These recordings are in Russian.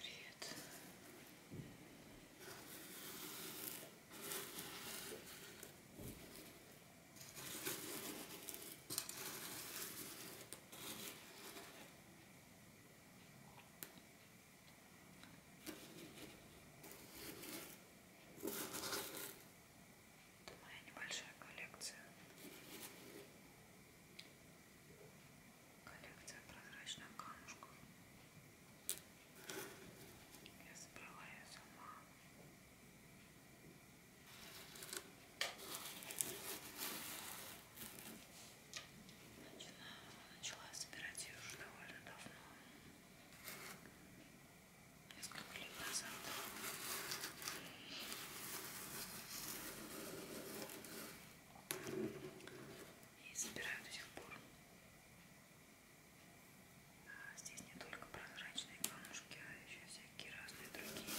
Привет. Это моя небольшая коллекция. Коллекция прозрачных камушков. Я собрала ее сама. Начала, начала собирать ее уже довольно давно. Несколько лет назад. И собираю до сих пор. Здесь не только прозрачные камушки, а еще всякие разные другие.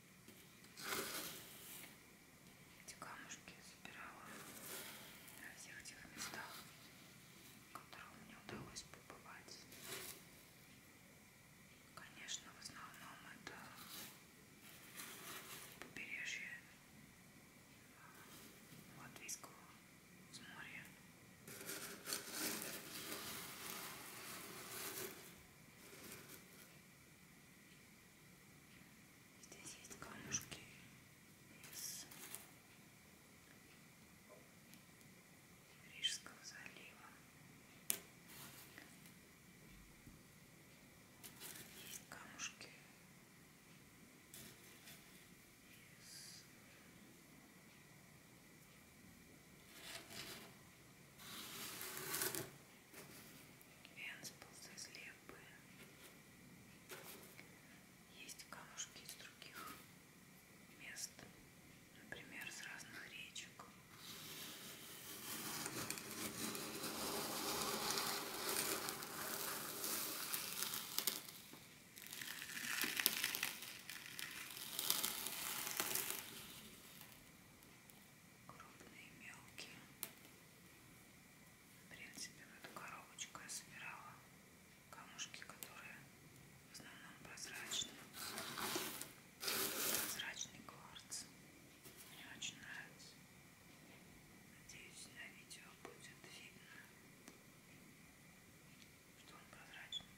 Эти камушки я собирала на всех тех местах, в которых мне удалось побывать. Конечно, в основном это побережье Латвийского моря. Здесь есть камушки из Рижского залива. Есть камушки из Венспилс из лепы. Есть камушки из других мест, например, с разных речек крупные, мелкие. В принципе, в эту коробочку я собирала камушки, которые в основном прозрачные. Прозрачный кварц. Мне очень нравится. Надеюсь, на видео будет видно, что он прозрачный.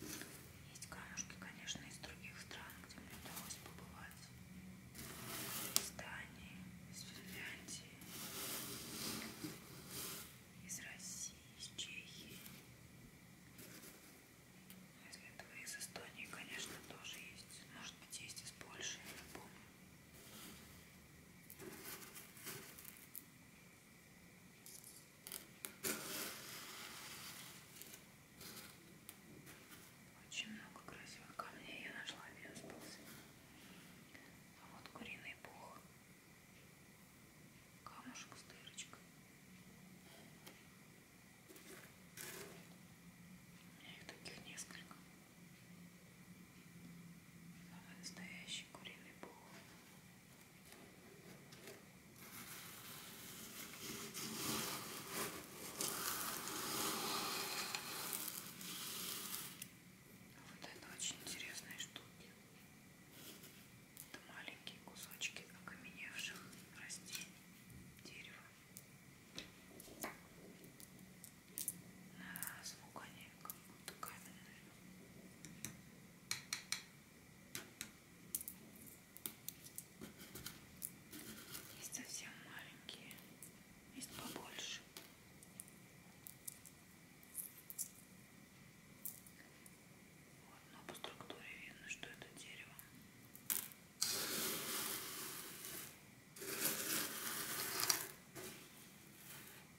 Есть камушки, конечно, из других стран, где мне удалось побывать. Из Дании, из Финляндии, из России, из Чехии. Из этого, из Эстонии, конечно, тоже есть. Может быть, есть из Польши, я не помню. Очень много красивых камней я нашла, а мне остался. А вот куриный пух. Камушек с дырочкой. У меня их таких несколько. Самый настоящий куриный пол. Вот это очень интересные штуки. Это маленькие кусочки окаменевших растений, дерева на звук, а не как будто камера, Есть совсем маленькие, есть побольше. Вот, но по структуре видно, что это дерево.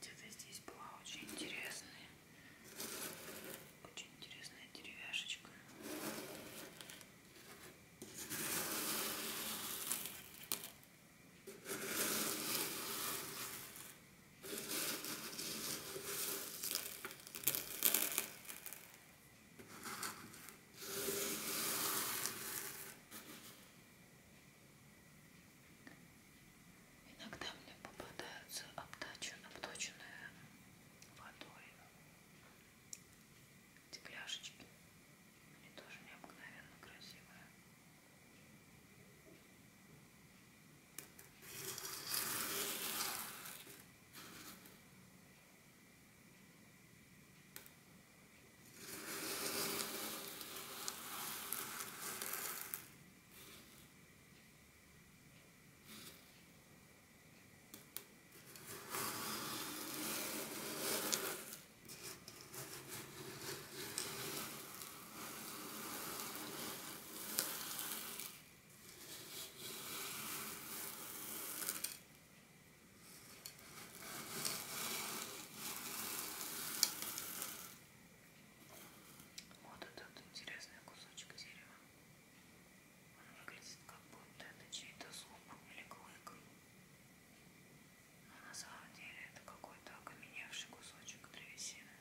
Где-то здесь была очень интересная, очень интересная деревяшечка. Иногда мне попадаются обточенные водой эти пляшечки. Они тоже необыкновенно красивые. Вот этот интересный кусочек дерева. Он выглядит как будто это чей-то зуб или клык но а на самом деле это какой-то окаменевший кусочек древесины.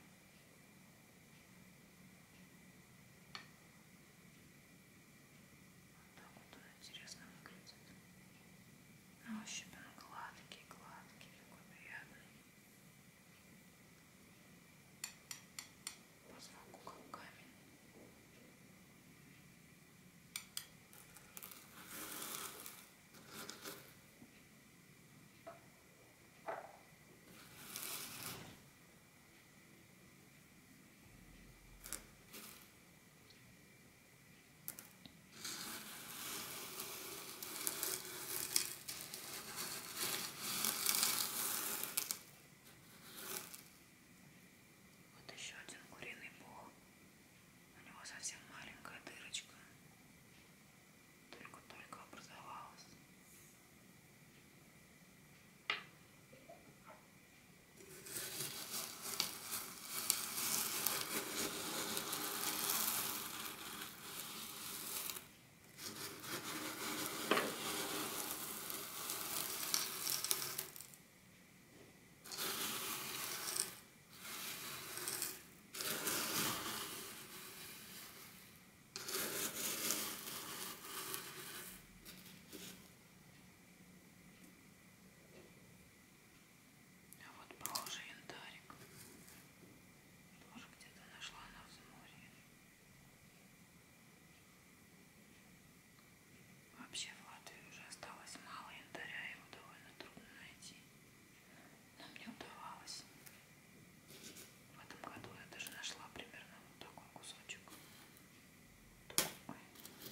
Вот так вот он интересно выглядит. На ощупь он гладкий, гладкий, такой приятный. По звуку как камень. Вот еще один куриный пол. У него совсем маленькая дырочка. Только-только образовалась. А вот похоже янтарик. Тоже где-то нашла она в море. Вообще в Латвии уже осталось мало янтаря, его довольно трудно найти. Но мне удавалось. В этом году я даже нашла примерно вот такой кусочек. Такой,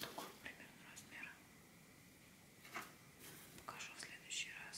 такой примерно размера. Покажу в следующий раз.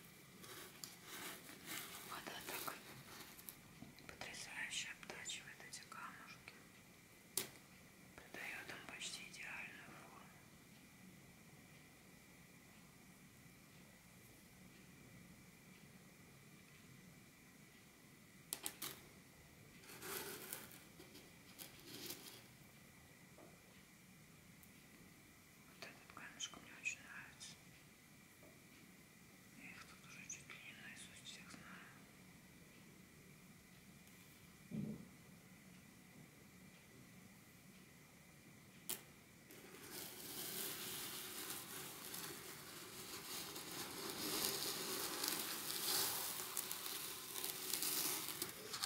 Вода так потрясающе обтачивает эти камушки, придает им почти идеальную форму. Вот этот камешка мне очень нравится. Я их тут уже чуть ли не наизусть всех знаю.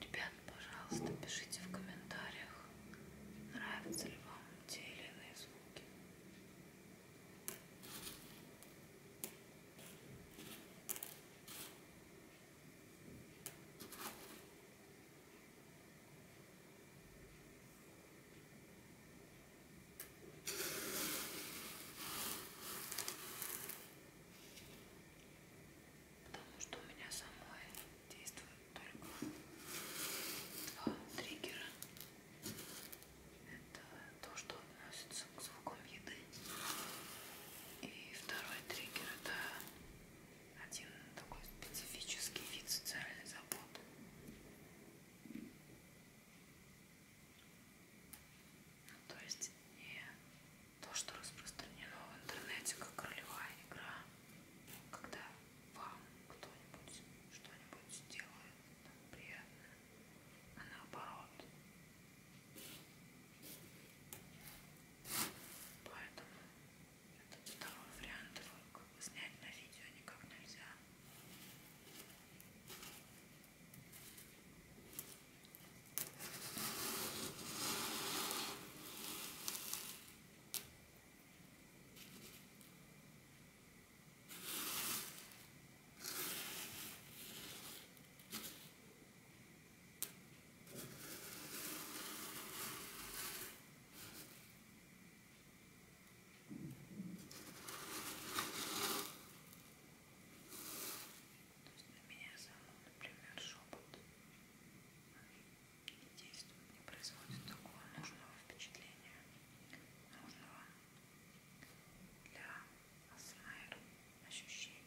Ребят, пожалуйста, пишите в комментариях, нравятся ли вам те или иные звуки. Потому что у меня самой действует только два триггера. Это то, что относится к звукам еды. И второй триггер это один такой специфический вид социальной заботы. Ну, то есть не то, что распространено в интернете как ролевая игра, когда вам кто-нибудь что-нибудь делает там, приятное, а наоборот Поэтому этот второй вариант его как бы снять на видео никак нельзя. То есть на меня саму, например, шепот не действует, не производит такого нужного впечатления, нужного для АСМР ощущений.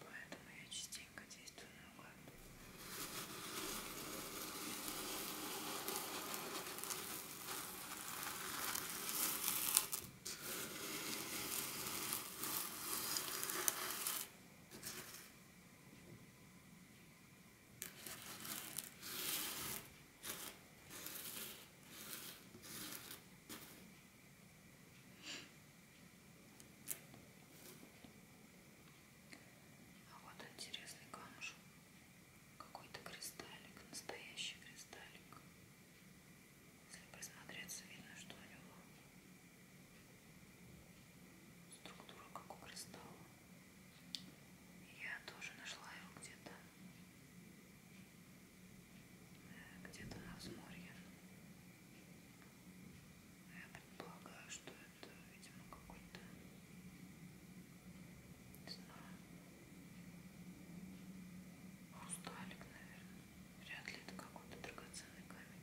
Поэтому я частенько действую наугад. Ой, а вот интересный камушек. Какой-то кристаллик, настоящий кристаллик. Если присмотреться, видно, что у него структура как у кристалла. Я тоже нашла его где-то. Э, где-то на взморье. Я предполагаю, что ну, это, видимо, какой-то, не знаю, хрусталик, наверное. Вряд ли это какой-то драгоценный камень.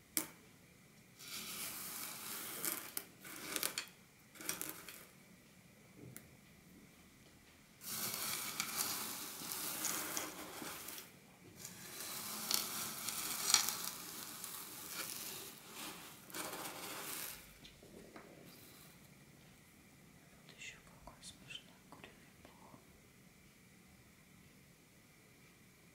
Вот еще какой смешной куриный пух.